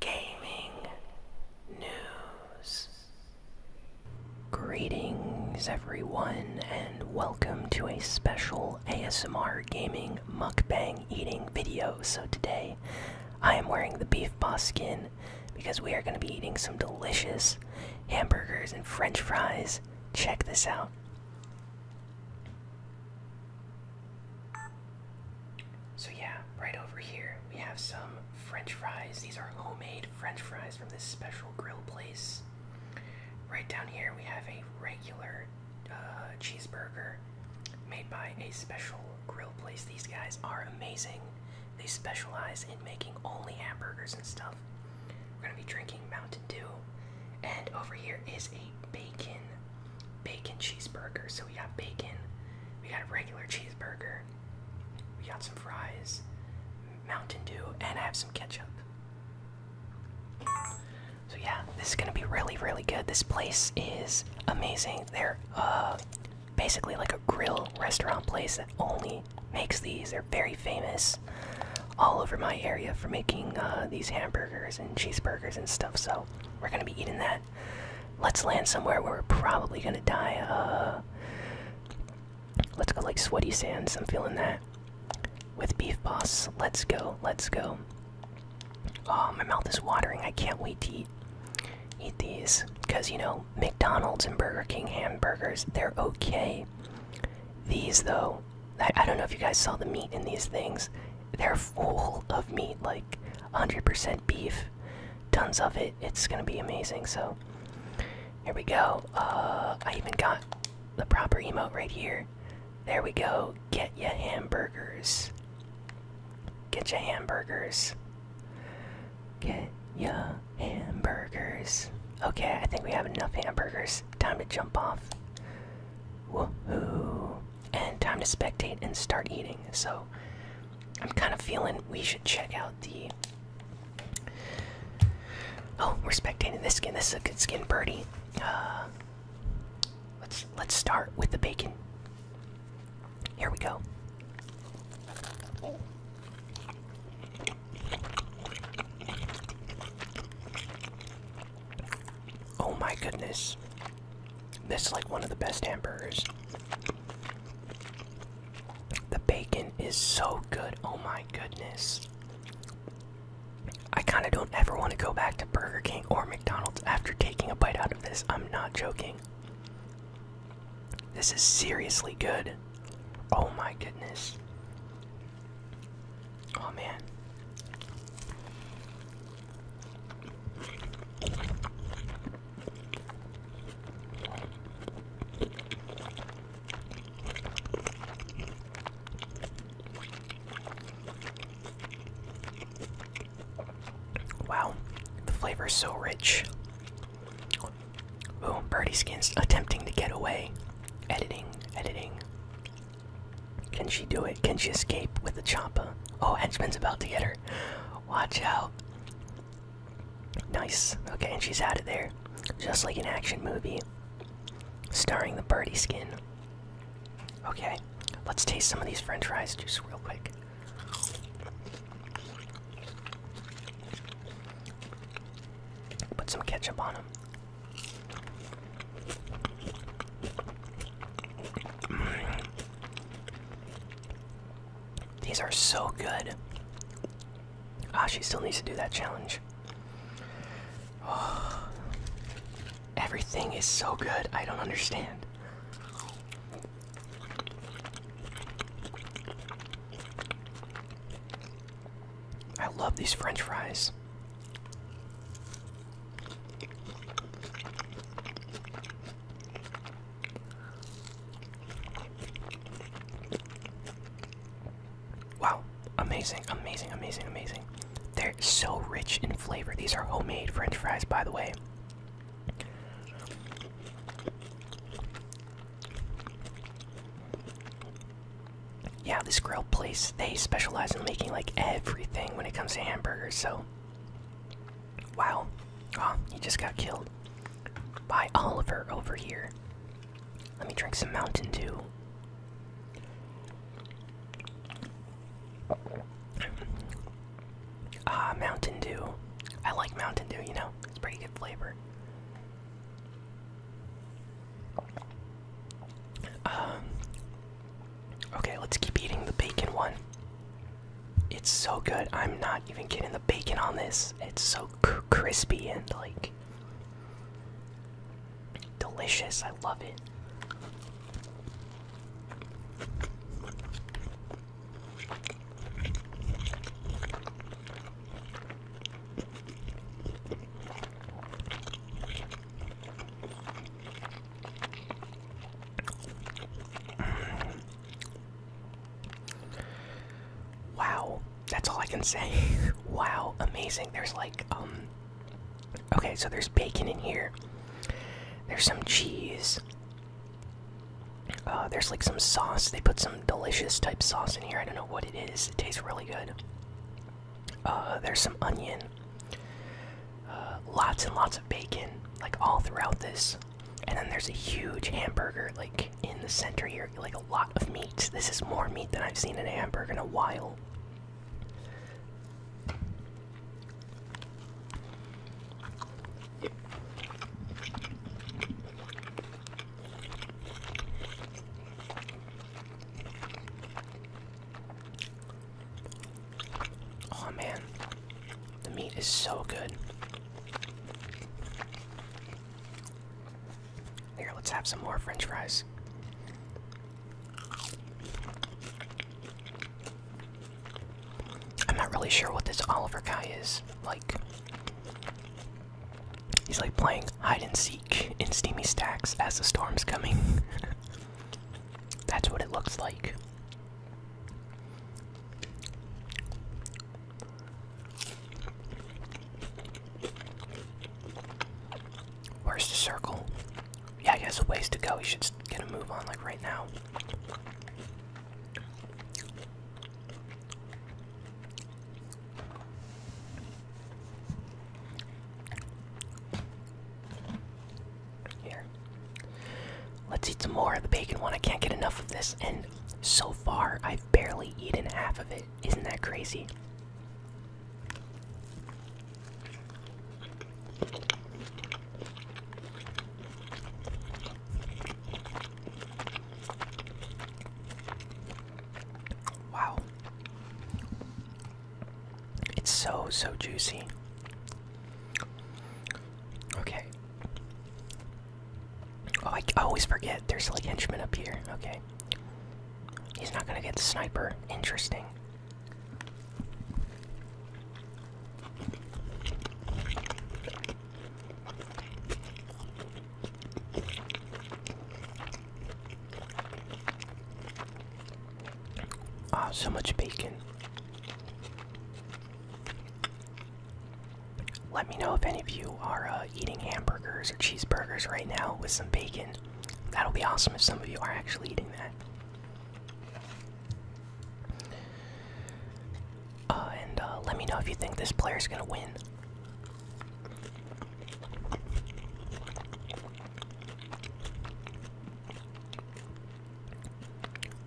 gaming news. Greetings, everyone, and welcome to a special ASMR gaming mukbang eating video. So, today I am wearing the Beef Boss skin because we are going to be eating some delicious hamburgers and french fries. Check this out. So, yeah, right over here we have some French fries. These are homemade French fries from this special grill place. Right down here we have a regular uh, cheeseburger made by a special grill place. These guys are amazing. They specialize in making only hamburgers and stuff. We're gonna be drinking Mountain Dew. And over here is a bacon bacon cheeseburger. So we got bacon, we got a regular cheeseburger, we got some fries, Mountain Dew, and I have some ketchup. So yeah, this is gonna be really, really good. This place is amazing. They're uh, basically like a grill restaurant place that only makes these. They're very famous all over my area for making uh, these hamburgers and cheeseburgers and stuff. So we're gonna be eating that. Let's land somewhere where we're probably gonna die. Uh, let's go like sweaty sands. I'm feeling that. With beef boss, let's go. Let's go. Oh, my mouth is watering. I can't wait to eat eat these because you know McDonald's and Burger King hamburgers they're okay. These though, I, I don't know if you guys saw the meat in these things. They're full of meat, like 100% beef tons of it. It's gonna be amazing. So here we go. Uh, I even got the proper emote right here. There we go. Get your hamburgers. Get your hamburgers. Get your hamburgers. Okay, I think we have enough hamburgers. Time to jump off. Woohoo! And time to spectate and start eating. So I'm kind of feeling we should check out the. Oh, we're spectating this skin. This is a good skin, birdie. Uh, let's let's start with the bacon. Here we go. Oh my goodness. This is like one of the best hamburgers. The bacon is so good. Oh my goodness. I kind of don't ever want to go back to Burger King or McDonald's after taking a bite out of this. I'm not joking. This is seriously good. Oh my goodness. Oh man. Wow, the flavor is so rich. Ooh, Birdie Skin's attempting to get away. Editing, editing. Can she do it? Can she escape with the Champa? Oh, Henchman's about to get her. Watch out. Nice. Okay, and she's out of there. Just like an action movie. Starring the birdie skin. Okay, let's taste some of these french fries juice real quick. Put some ketchup on them. Mm. These are so good. Ah, she still needs to do that challenge. everything is so good. I don't understand. I love these french fries. Wow, amazing, amazing, amazing, amazing. They're so rich in flavor. These are homemade french fries, by the way. Yeah, this grill place, they specialize in making like everything when it comes to hamburgers, so Wow. Oh, he just got killed by Oliver over here. Let me drink some Mountain Dew. Ah, Mountain Dew. I like Mountain Dew, you know? It's pretty good flavor. Um, okay, let's keep eating the bacon one. It's so good. I'm not even kidding. The bacon on this, it's so crispy and like delicious. I love it. Wow, that's all I can say. wow, amazing. There's like, um, okay, so there's bacon in here, there's some cheese, uh, there's like some sauce. They put some delicious type sauce in here. I don't know what it is, it tastes really good. Uh, there's some onion, uh, lots and lots of bacon, like all throughout this. And then there's a huge hamburger like in the center here, like a lot of meat. This is more meat than I've seen in a hamburger in a while. Oh man, the meat is so good. Here, let's have some more french fries. I'm not really sure what this Oliver guy is. Like, he's like playing hide and seek in Steamy Stacks as the storm's coming. That's what it looks like. Where's the circle? Yeah, he has a ways to go. He should get a move on, like right now. Here. Let's eat some more of the bacon one. I can't get enough of this, and so far I've barely eaten half of it. Isn't that crazy? Wow. It's so, so juicy. Okay, Oh, I, always forget. There's like henchmen up here. Okay. He's not gonna get the sniper. Interesting. Ah, so much bacon. Let me know if any of you are uh, eating hamburgers or cheeseburgers right now with some bacon. That'll be awesome if some of you are actually eating that. Uh, and uh, let me know if you think this player is going to win.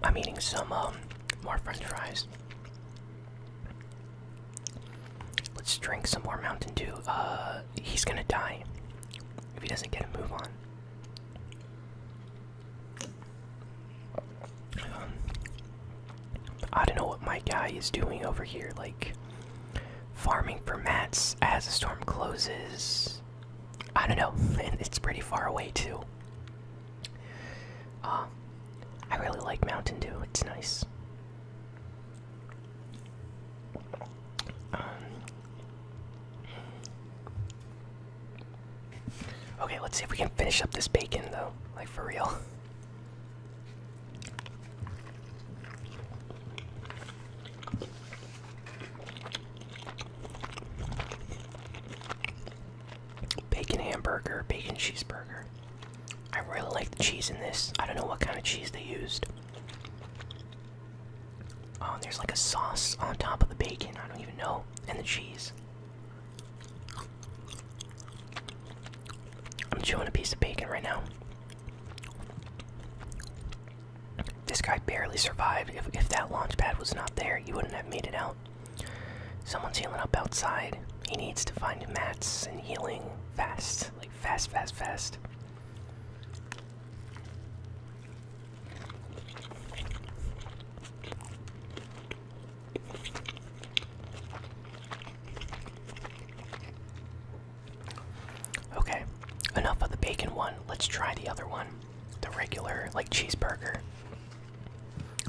I'm eating some um, more French fries. Let's drink some more Mountain Dew. Uh, he's gonna die if he doesn't get a move on. Um, I don't know what my guy is doing over here, like farming for mats as the storm closes. I don't know, and it's pretty far away too. Uh, I really like Mountain Dew, it's nice. Um, okay, let's see if we can finish up this bacon though, like for real bacon hamburger, bacon cheeseburger. I really like the cheese in this. I don't know what kind of cheese they used. Oh, there's like a sauce on top of the bacon. I don't even know. And the cheese. I'm chewing a piece of bacon right now. This guy barely survived. If, if that launch pad was not there, you wouldn't have made it out. Someone's healing up outside. He needs to find mats and healing fast. Like, fast, fast, fast. Okay, enough of the bacon one. Let's try the other one the regular like cheeseburger.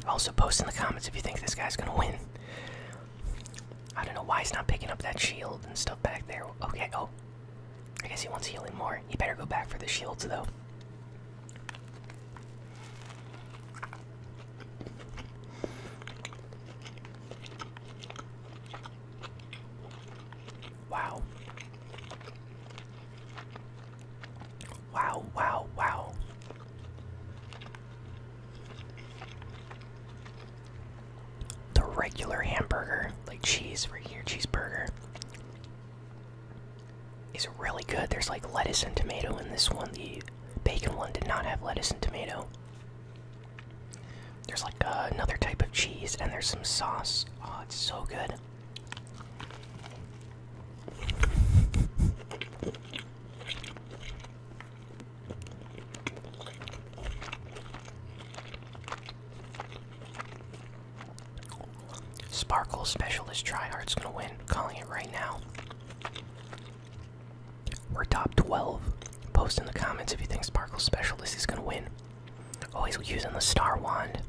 Also, post in the comments if you think this guy's gonna win. I don't know why he's not picking up that shield and stuff back there. Okay, go. Oh. I guess he wants healing more. He better go back for the shields though. Wow. Wow, wow, wow. The regular hamburger, like cheese right here, cheeseburger, is really good. There's like lettuce and tomato in this one. The bacon one did not have lettuce and tomato. There's like uh, another type of cheese, and there's some sauce. Oh, it's so good. Sparkle Specialist Tryhard's gonna win. Calling it right now. We're top 12. Post in the comments if you think Sparkle Specialist is gonna win. Oh, he's using the Star Wand.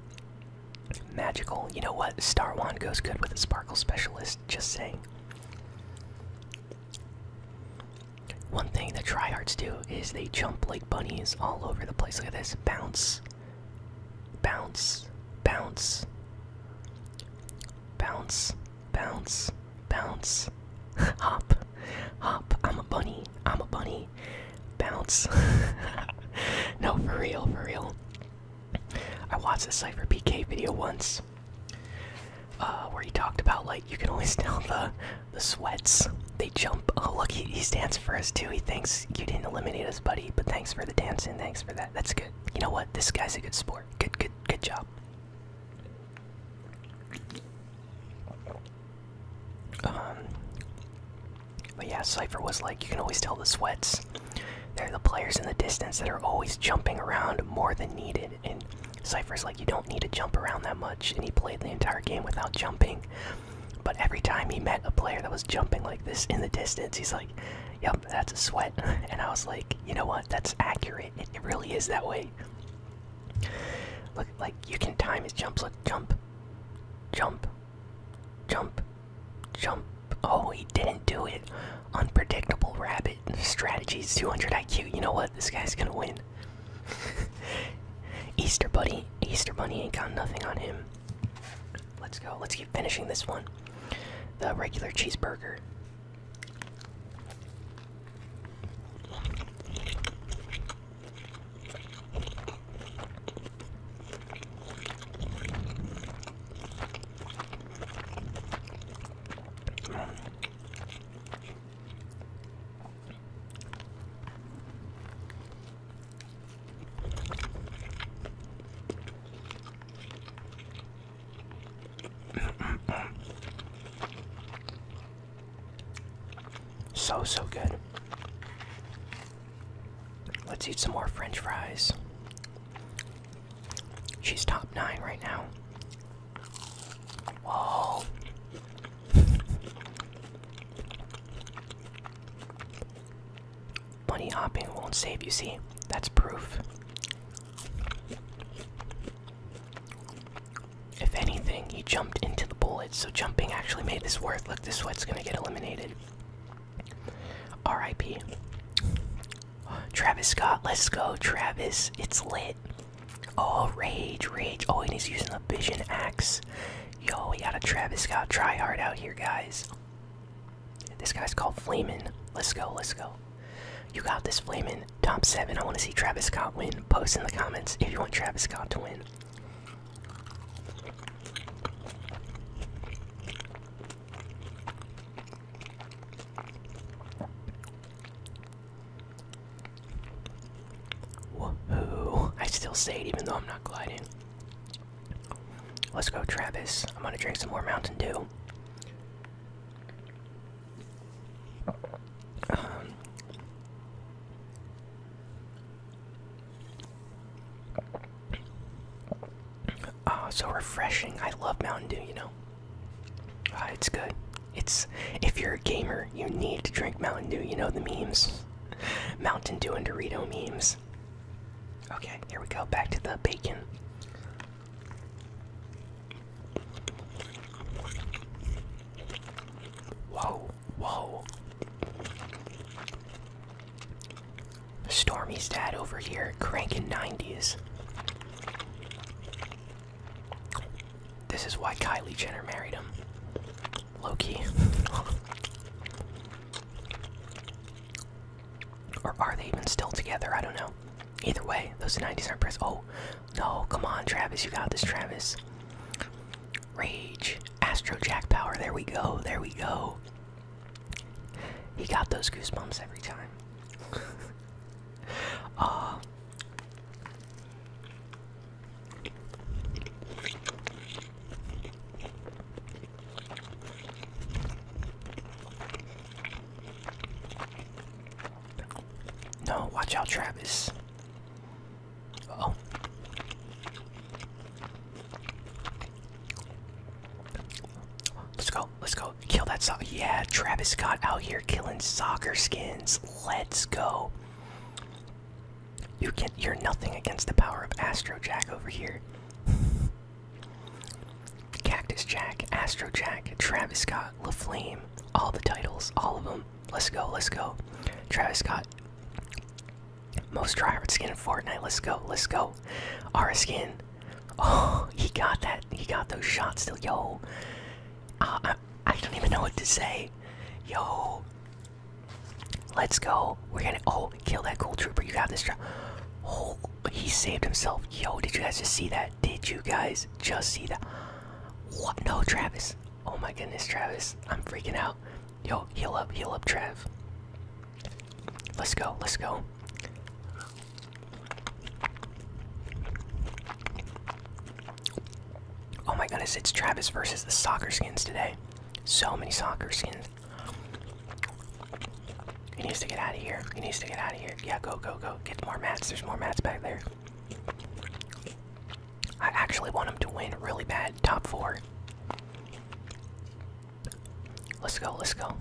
Magical. You know what? Star Wand goes good with a Sparkle Specialist, just say. One thing that tryhards do is they jump like bunnies all over the place. Look at this. Bounce. Bounce. Bounce. Bounce. Bounce. Bounce. Hop. Hop. I'm a bunny. I'm a bunny. Bounce. no, for real, for real. I watched the Cypher PK video once uh, where he talked about like you can always tell the the sweats. They jump. Oh look, he, he stands for us too. He thinks you didn't eliminate us, buddy. But thanks for the dancing. Thanks for that. That's good. You know what? This guy's a good sport. Good, good, good job. Um, but yeah, Cypher was like, you can always tell the sweats. They're the players in the distance that are always jumping around more than needed. And Cypher's like, you don't need to jump around that much. And he played the entire game without jumping. But every time he met a player that was jumping like this in the distance, he's like, yep, that's a sweat. And I was like, you know what? That's accurate. It, it really is that way. Look, like, you can time his jumps. Look, jump. Jump. Jump, jump. Oh, he didn't do it. Unpredictable rabbit strategies, 200 IQ. You know what? This guy's gonna win. Easter Bunny, Easter Bunny ain't got nothing on him. Let's go. Let's keep finishing this one. The regular cheeseburger. So, so good. Let's eat some more french fries. She's top nine right now. Whoa. Bunny hopping won't save you, see? That's proof. If anything, he jumped into the bullets, so jumping actually made this worth. Look, this sweat's gonna get eliminated. R.I.P. Travis Scott, let's go, Travis. It's lit. Oh, rage, rage. Oh, and he's using the vision axe. Yo, we got a Travis Scott tryhard out here, guys. This guy's called Flamin. Let's go, let's go. You got this, Flamin. Top 7. I want to see Travis Scott win. Post in the comments if you want Travis Scott to win. Woohoo! I still say it even though I'm not gliding. Let's go, Travis. I'm gonna drink some more Mountain Dew. Um, Ah, oh, so refreshing. I love Mountain Dew, you know. Ah, it's good. It's if you're a gamer, you need to drink Mountain Dew. You know the memes, Mountain Dew and Dorito memes. Okay, here we go. Back to the bacon. Whoa, whoa, Stormy's dad over here cranking 90s. This is why Kylie Jenner married him. Loki. or are they even still together? I don't know. Either way, those 90s aren't pressed. Oh, no, come on, Travis. You got this, Travis. Rage. Astro Jack Power. There we go. There we go. He got those goosebumps every time. uh, no, watch out, Travis. oh. Let's go. Let's go. Kill that soccer. Yeah, Travis Scott out here killing soccer skins. Let's go. You get you're nothing against the power of Astro Jack over here. Cactus Jack, Astro Jack, Travis Scott, La Flame, all the titles, all of them. Let's go, let's go. Travis Scott most tryhard skin in Fortnite. Let's go. Let's go. Our skin. Oh, he got that. He got those shots still. Yo. Uh, I, I don't even know what to say. Yo. Let's go. We're gonna. Oh, kill that cool trooper. You got this. Oh, he saved himself. Yo, did you guys just see that? Did you guys just see that? What? No, Travis. Oh my goodness, Travis. I'm freaking out. Yo, heal up, heal up, Trav. Let's go, let's go. Oh my goodness, it's Travis versus the soccer skins today. So many soccer skins. He needs to get out of here. He needs to get out of here. Yeah, go, go, go. Get more mats. There's more mats back there. I actually want him to win really bad. Top four. Let's go, let's go.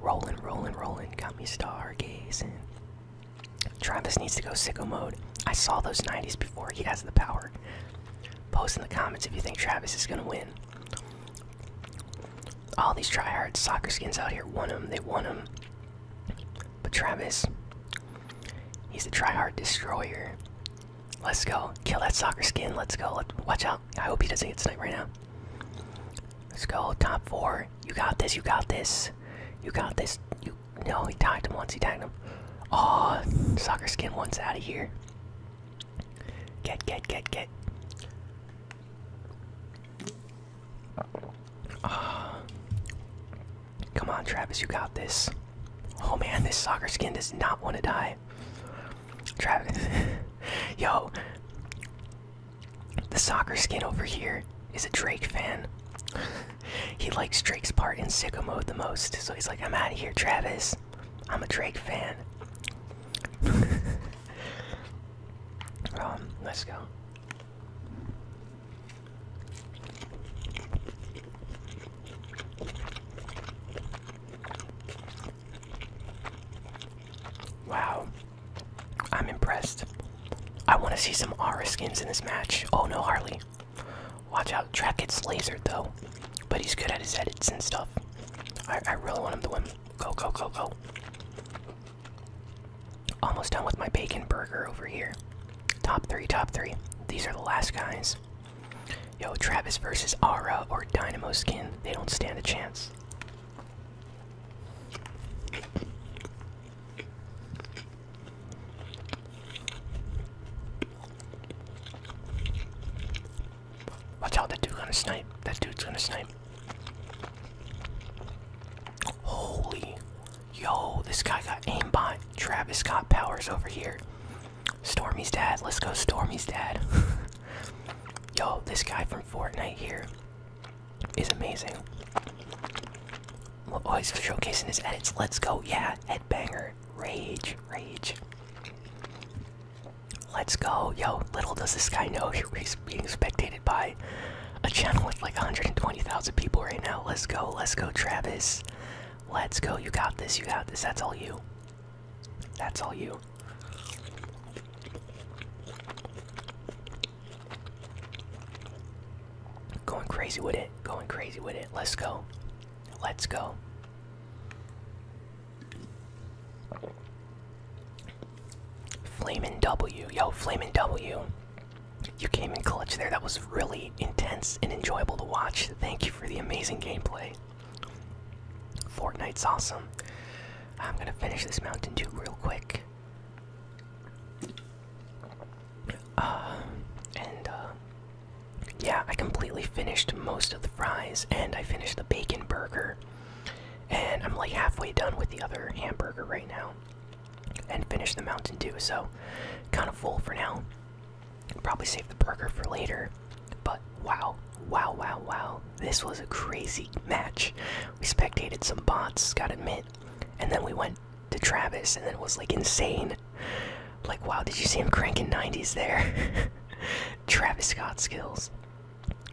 Rolling, rolling, rolling. Got me stargazing. Travis needs to go sicko mode. I saw those 90s before. He has the power. Post in the comments if you think Travis is going to win. All these tryhard soccer skins out here won them. They won them. But Travis, he's a tryhard destroyer. Let's go. Kill that soccer skin. Let's go. watch out. I hope he doesn't get sniped right now. Let's go. Top four. You got this. You got this. You got this. You. No, he tagged him once. He tagged him. Oh, soccer skin once out of here. Get, get, get, get. Oh. Come on, Travis. You got this. Oh man, this soccer skin does not want to die. Travis. Yo. The soccer skin over here is a Drake fan. he likes Drake's part in Sicko Mode the most. So he's like, I'm out of here, Travis. I'm a Drake fan. Um, let's go. Wow. I'm impressed. I want to see some Aura skins in this match. Oh no, Harley. Watch out. Track gets lasered though. But he's good at his edits and stuff. I, I really want him to win. Go, go, go, go. Almost done with my bacon burger over here. Top three, top three. These are the last guys. Yo, Travis versus Aura or Dynamo Skin, they don't stand a chance. Watch out, that dude's gonna snipe. That dude's gonna snipe. Holy. Yo, this guy got aimbot. Travis got powers over here. Stormy's dad. Let's go, Stormy's dad. Yo, this guy from Fortnite here is amazing. Oh, he's showcasing his edits. Let's go. Yeah, headbanger. Rage, rage. Let's go. Yo, little does this guy know he's being spectated by a channel with like 120,000 people right now. Let's go. Let's go, Travis. Let's go. You got this. You got this. That's all you. That's all you. Going crazy with it. Going crazy with it. Let's go. Let's go. Flamin' W. Yo, Flamin' W. You came in clutch there. That was really intense and enjoyable to watch. Thank you for the amazing gameplay. Fortnite's awesome. I'm gonna finish this Mountain Dew real quick. Uh, and uh, yeah, I completely finished most of the fries, and I finished the bacon burger, and I'm like halfway done with the other hamburger right now, and finished the Mountain Dew. So, kind of full for now. Probably save the burger for later. But wow, wow, wow, wow. This was a crazy match. We spectated some bots, gotta admit. And then we went to Travis, and then it was like insane. Like, wow, did you see him cranking 90s there? Travis Scott skills.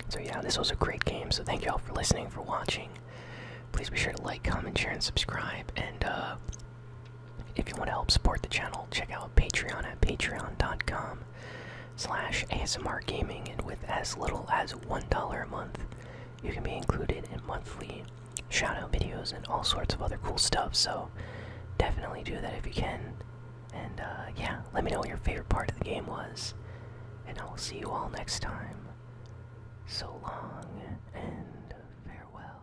So, yeah, this was a great game. So, thank you all for listening, for watching. Please be sure to like, comment, share, and subscribe. And, uh, if you want to help support the channel, check out Patreon at patreon.com slash ASMR Gaming, and with as little as $1 a month, you can be included in monthly shoutout videos and all sorts of other cool stuff, so definitely do that if you can. And uh, yeah, let me know what your favorite part of the game was, and I will see you all next time. So long and farewell.